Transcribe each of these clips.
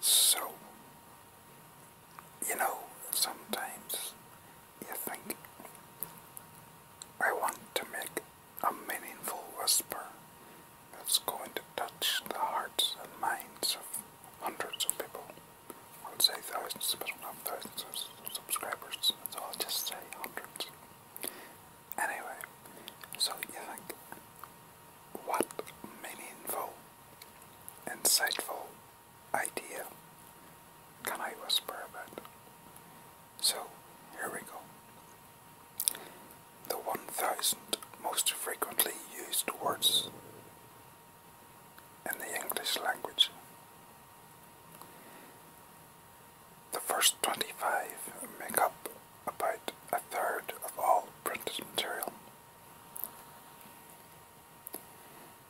So, you know, sometimes you think, I want to make a meaningful whisper that's going to touch the hearts and minds of hundreds of people. I would say thousands, but not thousands of subscribers, so I'll just say hundreds. Anyway, so you think, what meaningful, insightful idea can I whisper about? So, here we go. The 1000 most frequently used words in the English language. The first 25 make up about a third of all printed material.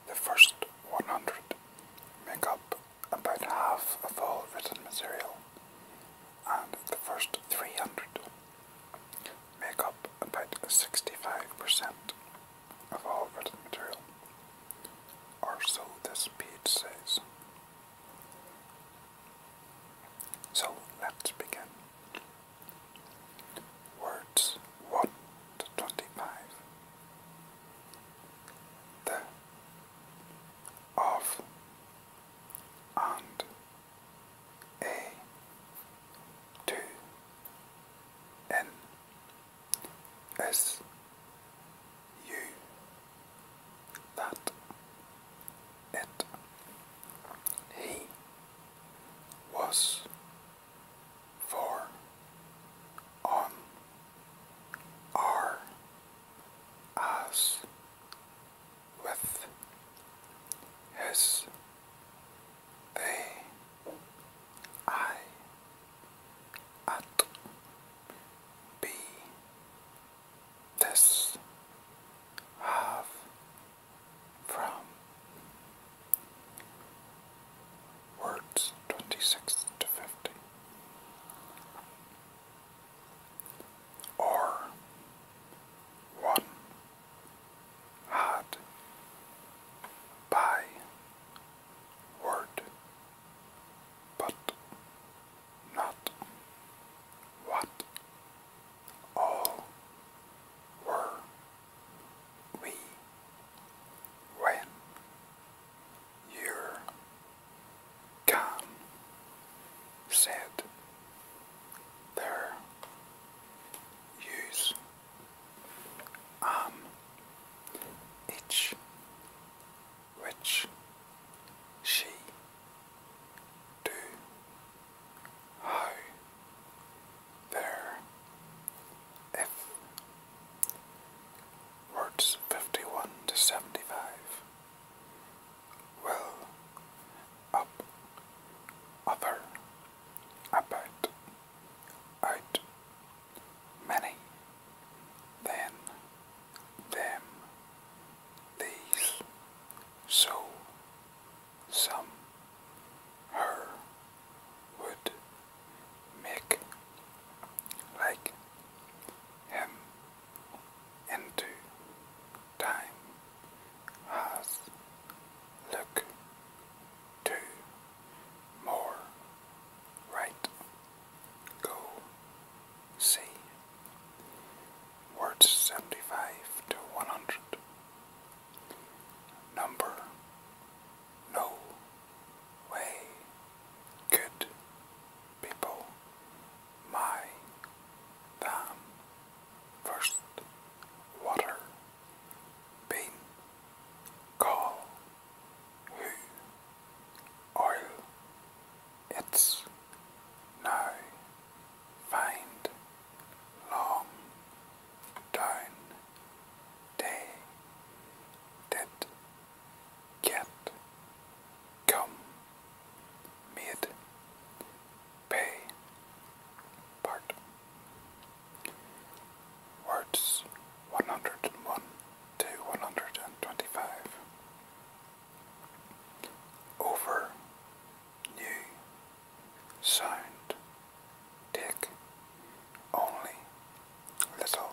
The first 100 make up about half of all written material, and the first 300 make up about 65% of all written material, or so this page says. So let's begin. Words 1 to 25. The, of, and, a, to, in, that, and he was for on our as with his they I at be this have from words 26 to 50 or one had by word but not what all were we when you're said their use um, on each which she do Hi there. If words fifty one to seventy five well up other about out many then them these so some her would make like him into time has look to more right go see words 75 to 100. Number no way good people my dam first water bean call who oil it's now find long down day did get come made pay part words one hundred and one to one hundred and twenty five over new sound take only little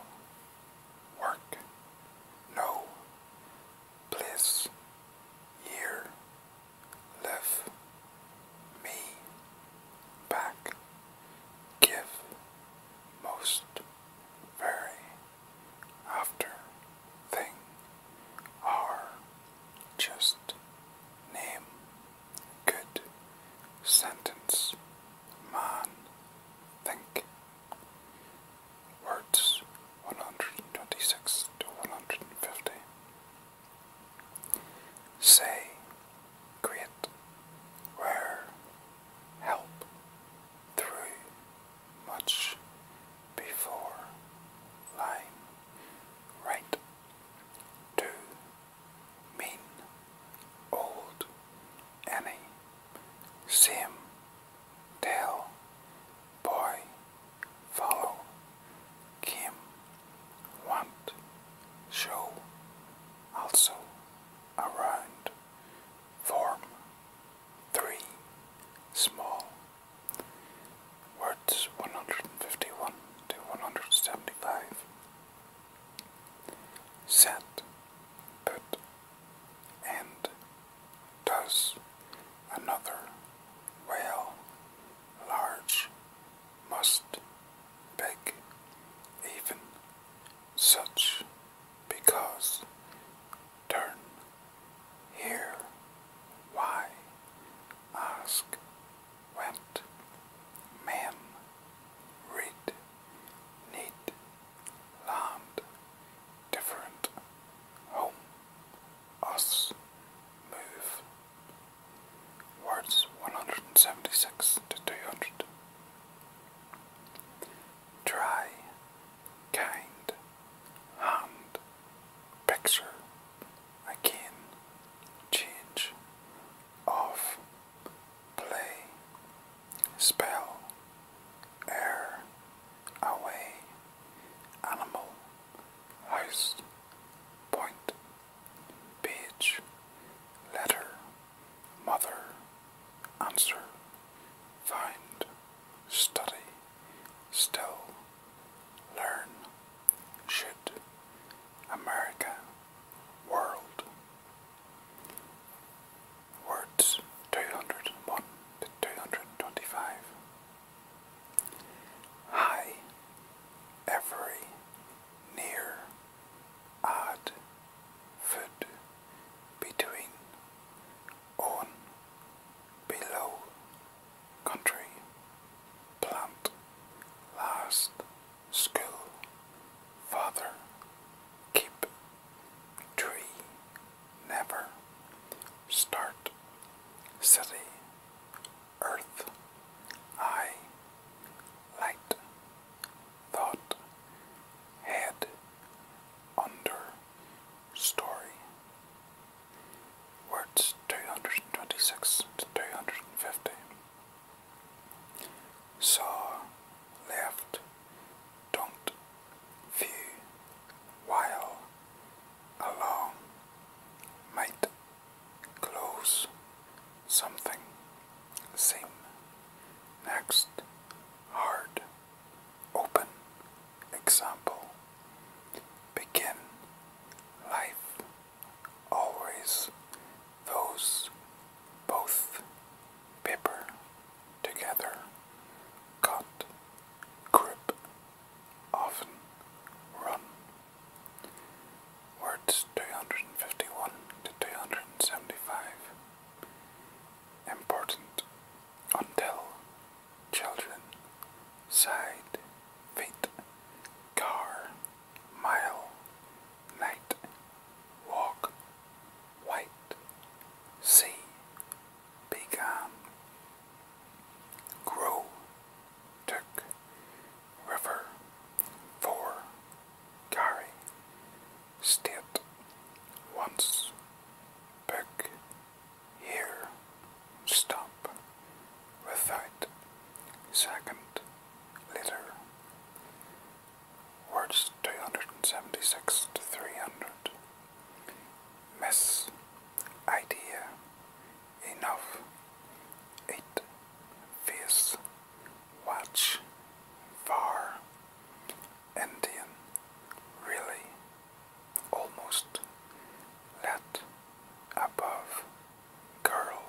work no place year live me back give most very after thing are just name, good, sentence, man, think. Words 126 to 150. Say, great, where, help, through, much before lying right to mean old any sim tell boy follow Kim want show also around form three small Words 151 to 175. Set, put, and does another well, large, must, big, even, such, because, turn, here, why, ask, went, men, read, need, land, different, home, us, move. Words 176 to 200. Dry, kind, hand, picture, again, change, off, play, spell, air, away, animal, house, point, page, letter, mother, answer, find, study, still, learn, should, America, world. Words 201 to 225. High, every, near, odd, food, between, on, below, country, plant, last, school, father, keep, tree, never, start, city, earth, I, light, thought, head, under, story, words 226 to 250. Saw, left, don't, view, while, along, might, close, something, seem, next, hard. Open example. Begin life always those both paper together caught grip often run words 251 to 275 important until children, side, fate, car, mile, night, walk, white, sea, become, grow, took, river, for, carry, state, once, book, here, stop. Without, second, litter. Words 276 to 300. Miss, idea, enough, eight, face, watch, far, Indian, really, almost let above girl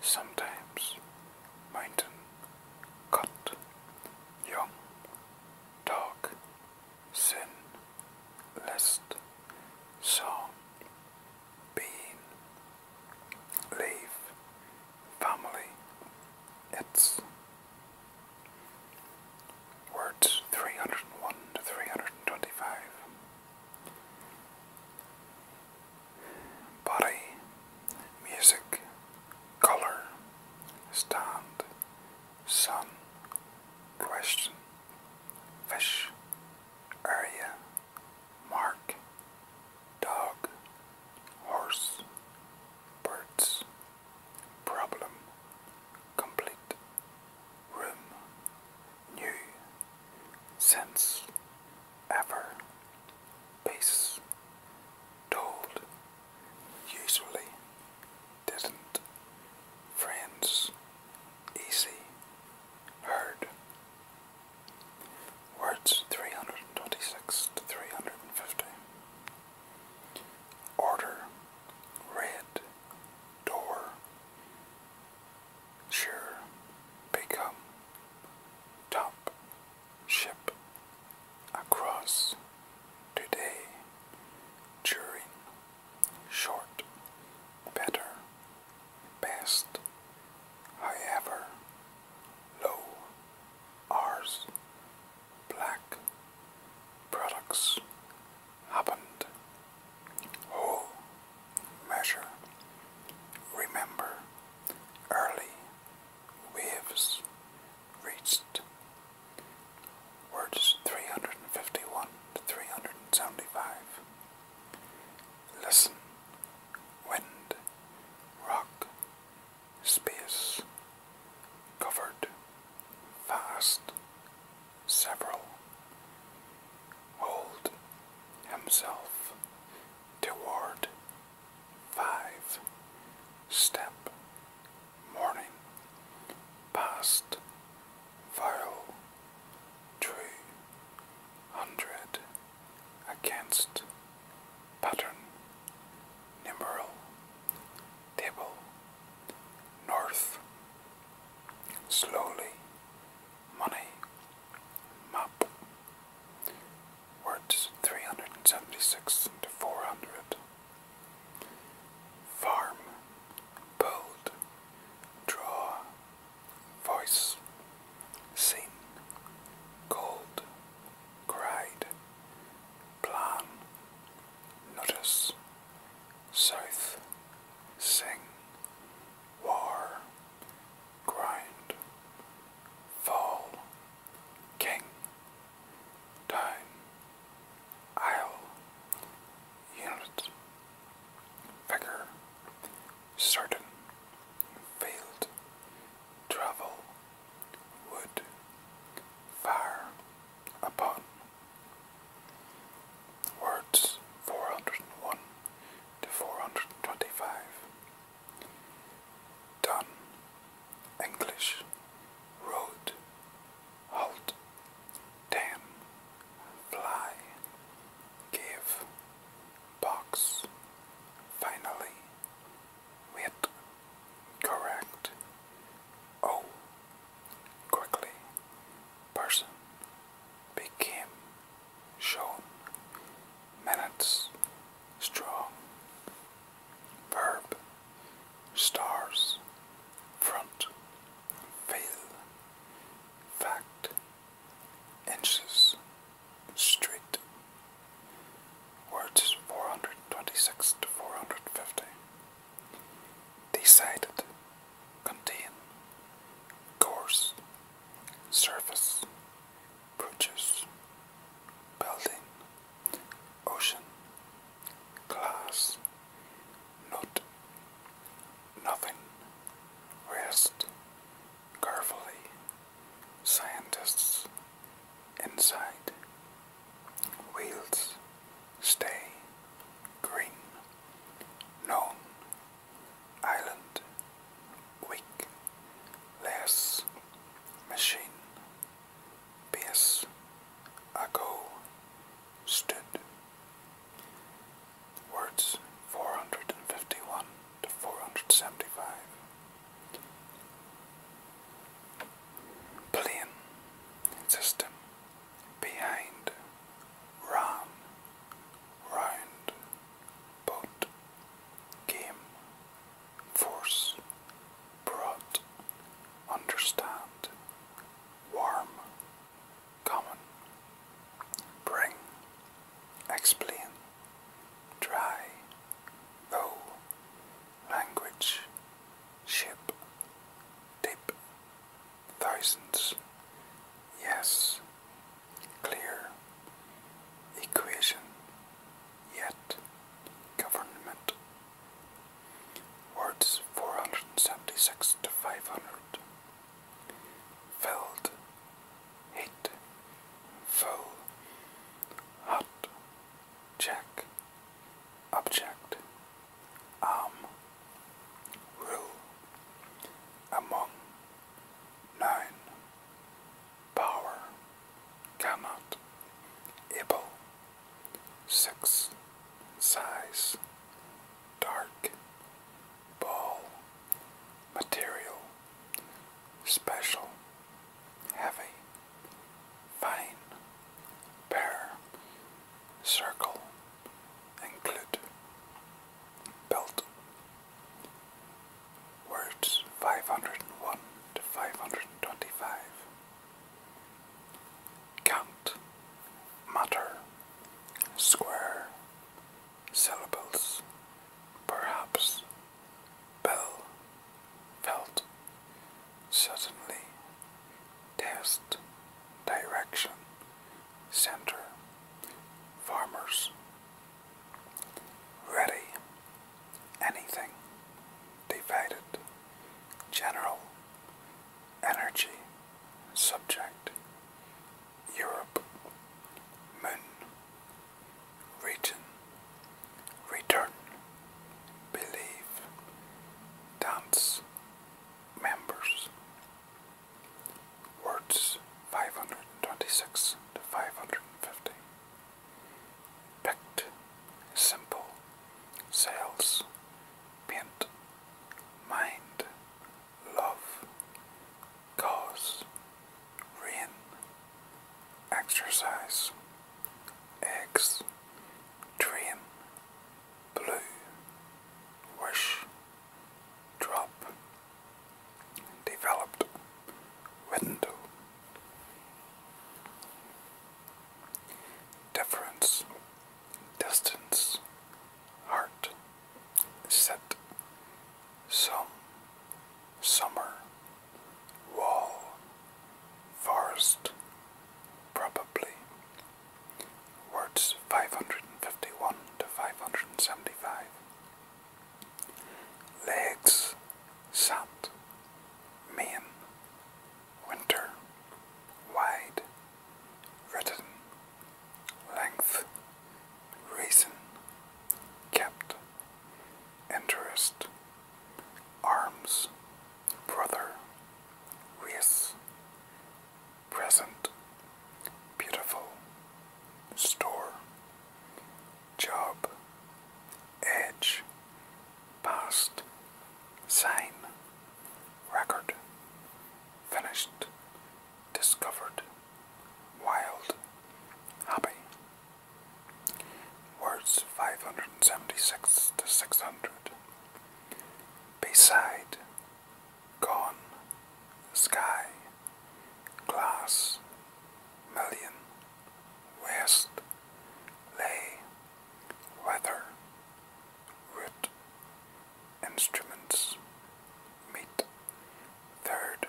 sometimes mountain cut young dog sin list song being leave family its Words 301 to 325. Body, music, color, stand, sun, question, fish, area, mark, dog, horse, birds. Problem. Complete. Room. New. Since. Ever. Peace. Told. Usually. Didn't. Friends. Easy. Heard. Words 326 to 350. Order, red, door, sure, become, top, ship, across, today, during, short, better, best, however, low, ours, black, products happened. Whole, measure, remember, early, waves, reached. Words 351 to 375. Listen, wind, rock, space covered fast several, hold himself toward five step morning past vile tree hundred against pattern numeral table north slowly money map words 376 to 400 farm build draw voice scene cold cried plan Notice, South, Sing, War, Grind, Fall, King, Down, Isle, Unit, Figure, Certain, Field, Travel, Wood, Fire, Upon. Words 401 to 425. Done. English. Road. Halt. Dam. Fly. Give. Box. Finally. Wit. Correct. Oh, quickly, person became shown minutes strong verb stars front veil fact inches Straight. words 426 to 450 decided contain course surface produce building ocean glass not nothing rest carefully scientists inside Wheels stay green. Known island weak. Less machine. Base ago stood. Words 451 to 475. Plane system behind round boat game force brought understand warm common bring explain try though language, ship, dip, thousands, yes, clear, equation, yet, government, words 476 to 500, filled, Hit. full, hot, check, object, um, rule among nine power cannot able six size dark ball material special heavy fine, pair, circle, include, belt. Words 501 to 525. Count, matter, square, syllables, perhaps, bell, felt suddenly test direction center farmers ready anything divided general energy subject Europe moon region return believe dance members words 526 to 550 picked simple sales paint mind love cause rain exercise eggs dream, blue, wish, drop, developed, window. Difference, distance, heart, set, some, summer, wall, forest, probably. Words 551 to 575. Legs, sat, main, winter, wide, written, length, reason, kept, interest, arms, brother, race, present, beautiful, store, job, edge, past, sign, record, finished, discovered, wild, happy. Words 576 to 600. Beside, gone, sky, glass, million, west, lay, weather, root, instruments, meet, third,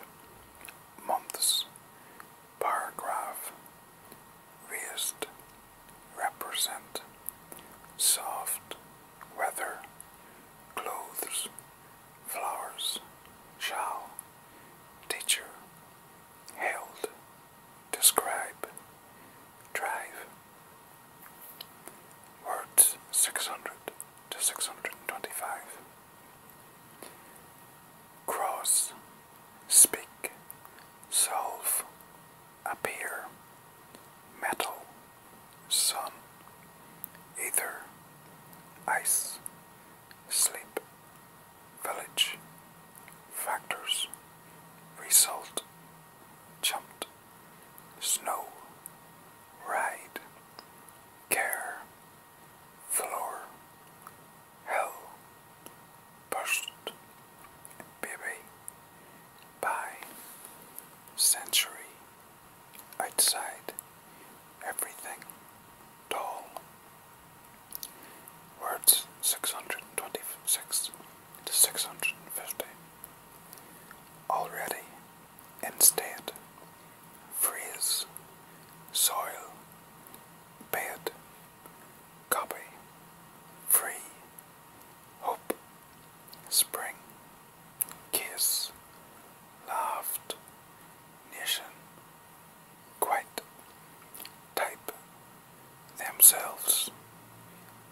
months, paragraph, raised represent soft weather, clothes, flowers, shall, teacher, held, describe, drive. Words 600 to 625. Cross, speak, solve, appear, metal, sun, ether, ice, sleep, village, factors, result, jumped, snow, ride, care, floor, Hell, Burst, Baby, by Century, Outside, Everything, Tall. Words 626 to 650. Already, instead, phrase, soil, bed, copy, free, hope, spring, kiss, loved, nation, quite, type, themselves,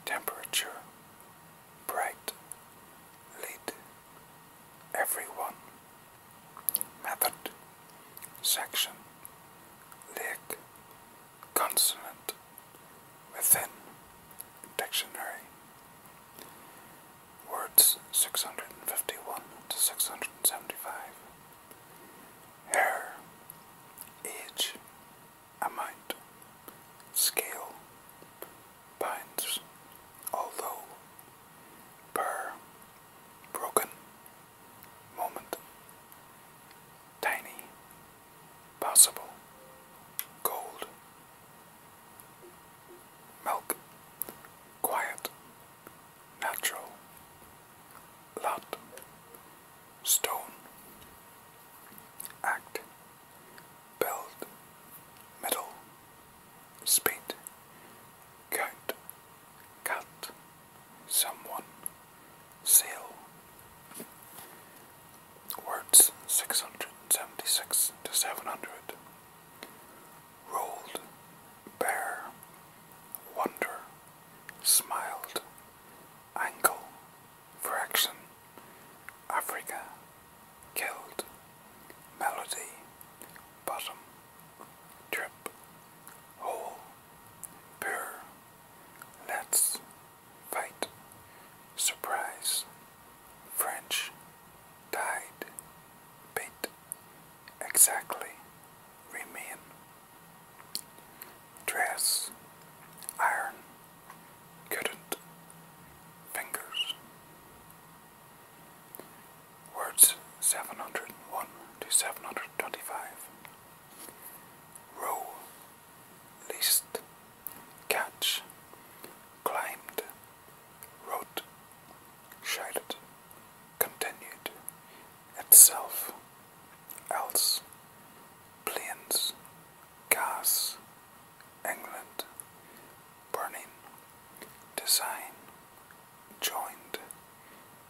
temperature, bright, lead, everyone, method, section, lick consonant within dictionary. Words 651 to 675. Hair, age, amount, scale, pounds, although, per, broken, moment. Tiny, possible, gold, milk, quiet, natural, lot, stone, act, build, middle, spade, count, cut someone, seal. Words 676 to 700. Rolled, bear, wonder, smiled, angle, fraction, Africa, killed, melody, bottom, trip, hole, pure, Let's fight. Surprise. French. Died. Bait. Exactly. Remain. Dress. Iron. Couldn't. Fingers. Words 701 to 725 row, list, catch, climbed, wrote, shouted, continued, itself, else, planes, gas, England, burning, design, joined,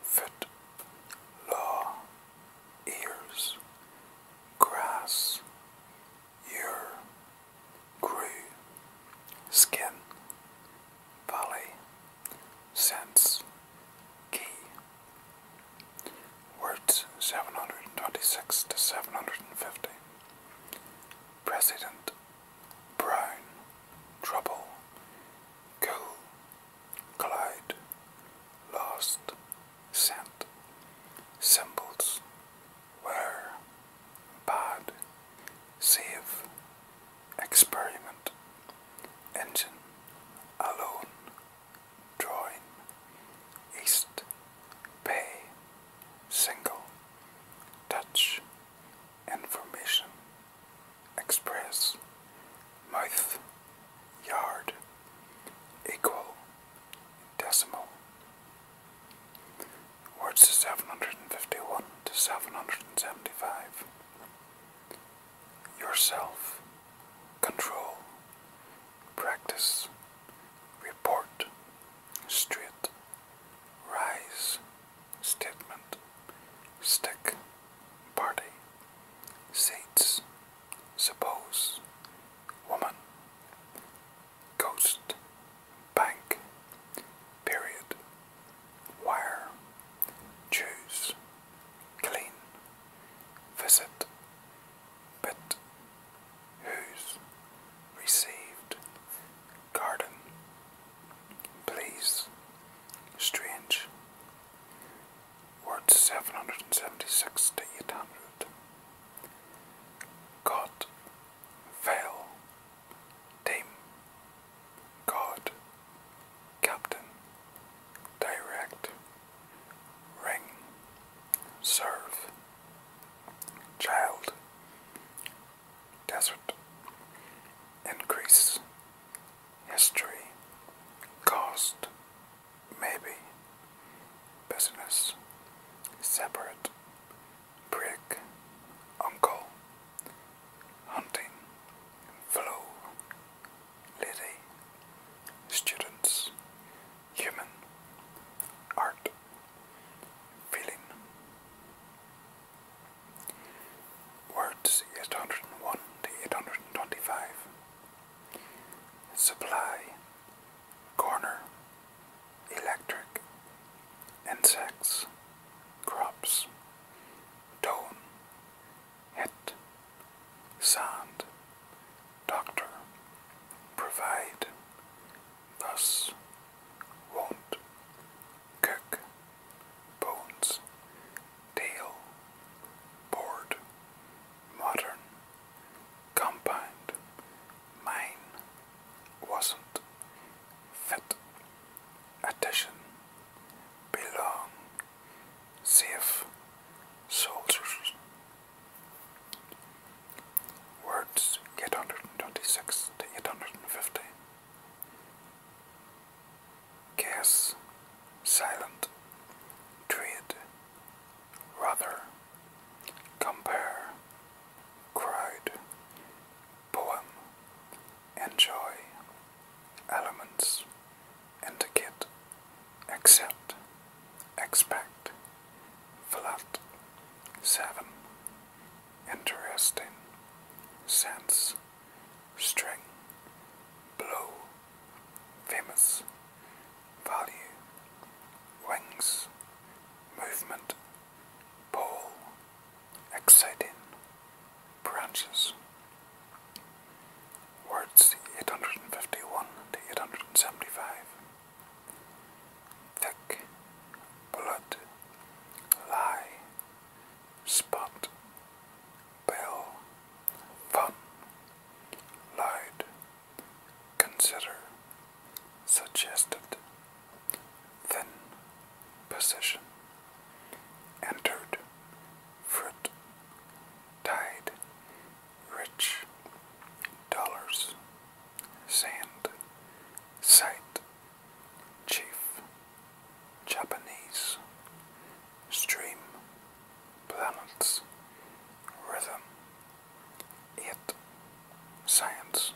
foot, law, ears, grass, ear, grew, skin, valley, sense, key. Words 726 to 750. President, brown, trouble, cool, Collide, Lost, Sent, Symbols, Where, Bad, Save, Experiment, Engine, Alone, Drawing, East, Pay, Single, Touch, Information, express mouth yard equal decimal. Words to 751 to 775. Yourself, control, practice, report, street, rise, statement, stick, party. Saints, suppose, woman, ghost, bank, period, wire, Jews. clean, visit, bit, whose, received, garden, please, strange, Word 776 to 800. God, Veil, Team, God, Captain, Direct, Ring, Serve, Child, Desert, Increase, history, cost, maybe, business, separate, brick, uncle, hunting, flow, lady, students, human, art, feeling. Words 801 to 825. Supply, corner, electric, insects, crops, tone, hit, sand, doctor, provide, thus, won't, cook bones, tail, board, modern, compound, mine, wasn't, fit, addition, belong, safe, soldiers. Words 826 to 850 guess, silent, treat, rather, compare, cried, poem, enjoy, elements, etiquette, accept, expect, flat, seven, interesting, sense string, blow, famous, value, wings, movement, pole, exciting, branches. Words 851 to 875. Thick, blood, lie, spot, bell, fun, lied, consider, suggested, thin, position, entered, fruit, tide, rich, dollars, sand, sight, chief. Japanese, stream, planets, rhythm, it, science.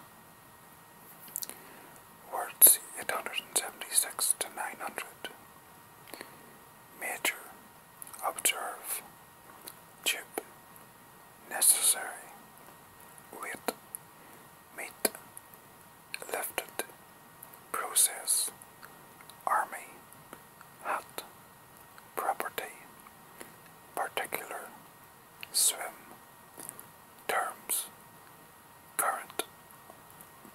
Words 876 to 900. Major, observe, chip, necessary, wit, meet, lifted, process, army, hat, property, particular, swim, terms, current,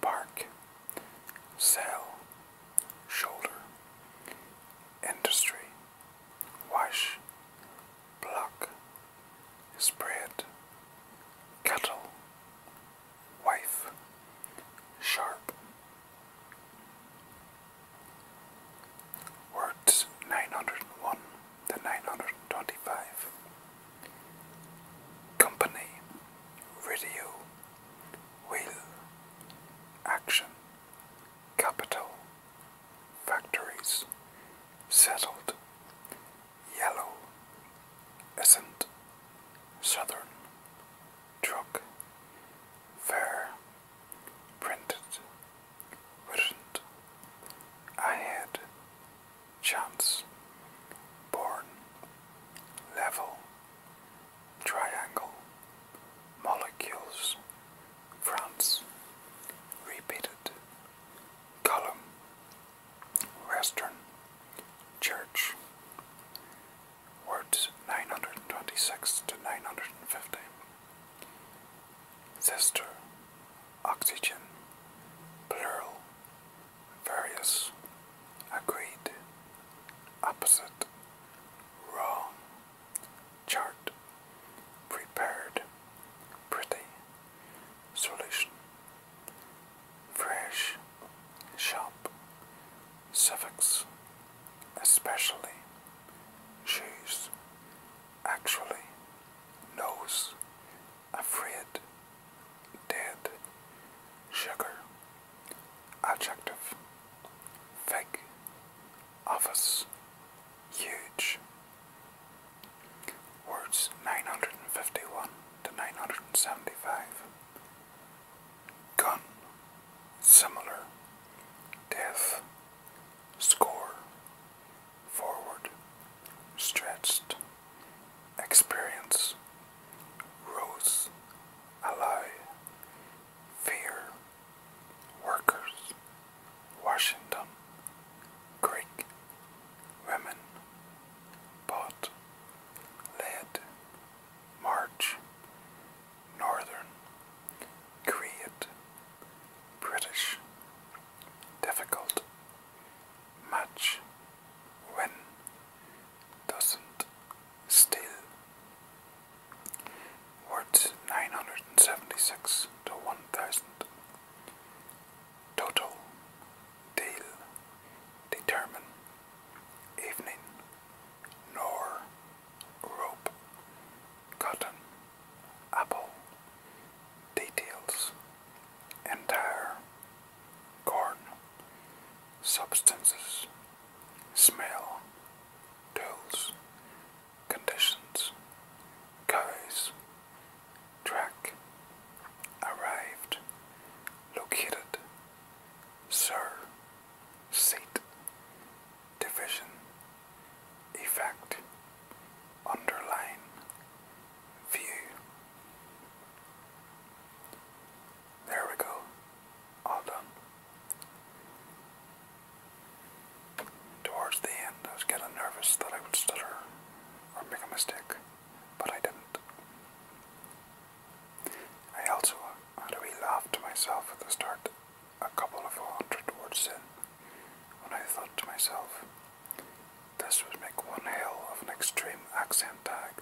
park, sell, shoulder, industry, wash, block, spread, cattle, wife, sharp. Words 901 to 925. Company, radio, will, action, capital, factories, settled, yellow, isn't Southern truck, Fair printed? would I had chance born level triangle molecules France repeated column Western Church, words 926 to nine hundred fifteen. Sister, oxygen, plural, various, agreed, opposite, wrong, chart, prepared, pretty, solution, fresh, shop, civics, especially she's, actually, knows, afraid, dead, sugar, adjective, fake, office, huge. Words 951 to 975 gun, similar, death, score, forward, stretched, experience, rose, ally, fear, workers, Washington, Greek, women, bought, Lead. march, northern, create, British, difficult, match, win, doesn't, still. Words 976 to 1000. Total till, determine, evening, nor, rope, cotton, apple, details, entire, corn, substances, smell, tools, conditions, cows, track, arrived, located, sir, seat, division, effect, underline, view. There we go, all done. Towards the end, I was getting nervous that I would stutter or make a mistake, but I didn't. I also had a wee laugh to myself at the start, a couple of hundred words in, when I thought to myself, this would make one hell of an extreme accent tag.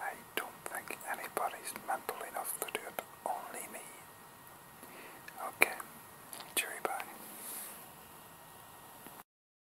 I don't think anybody's mental enough to do it, only me. Okay, cheery bye.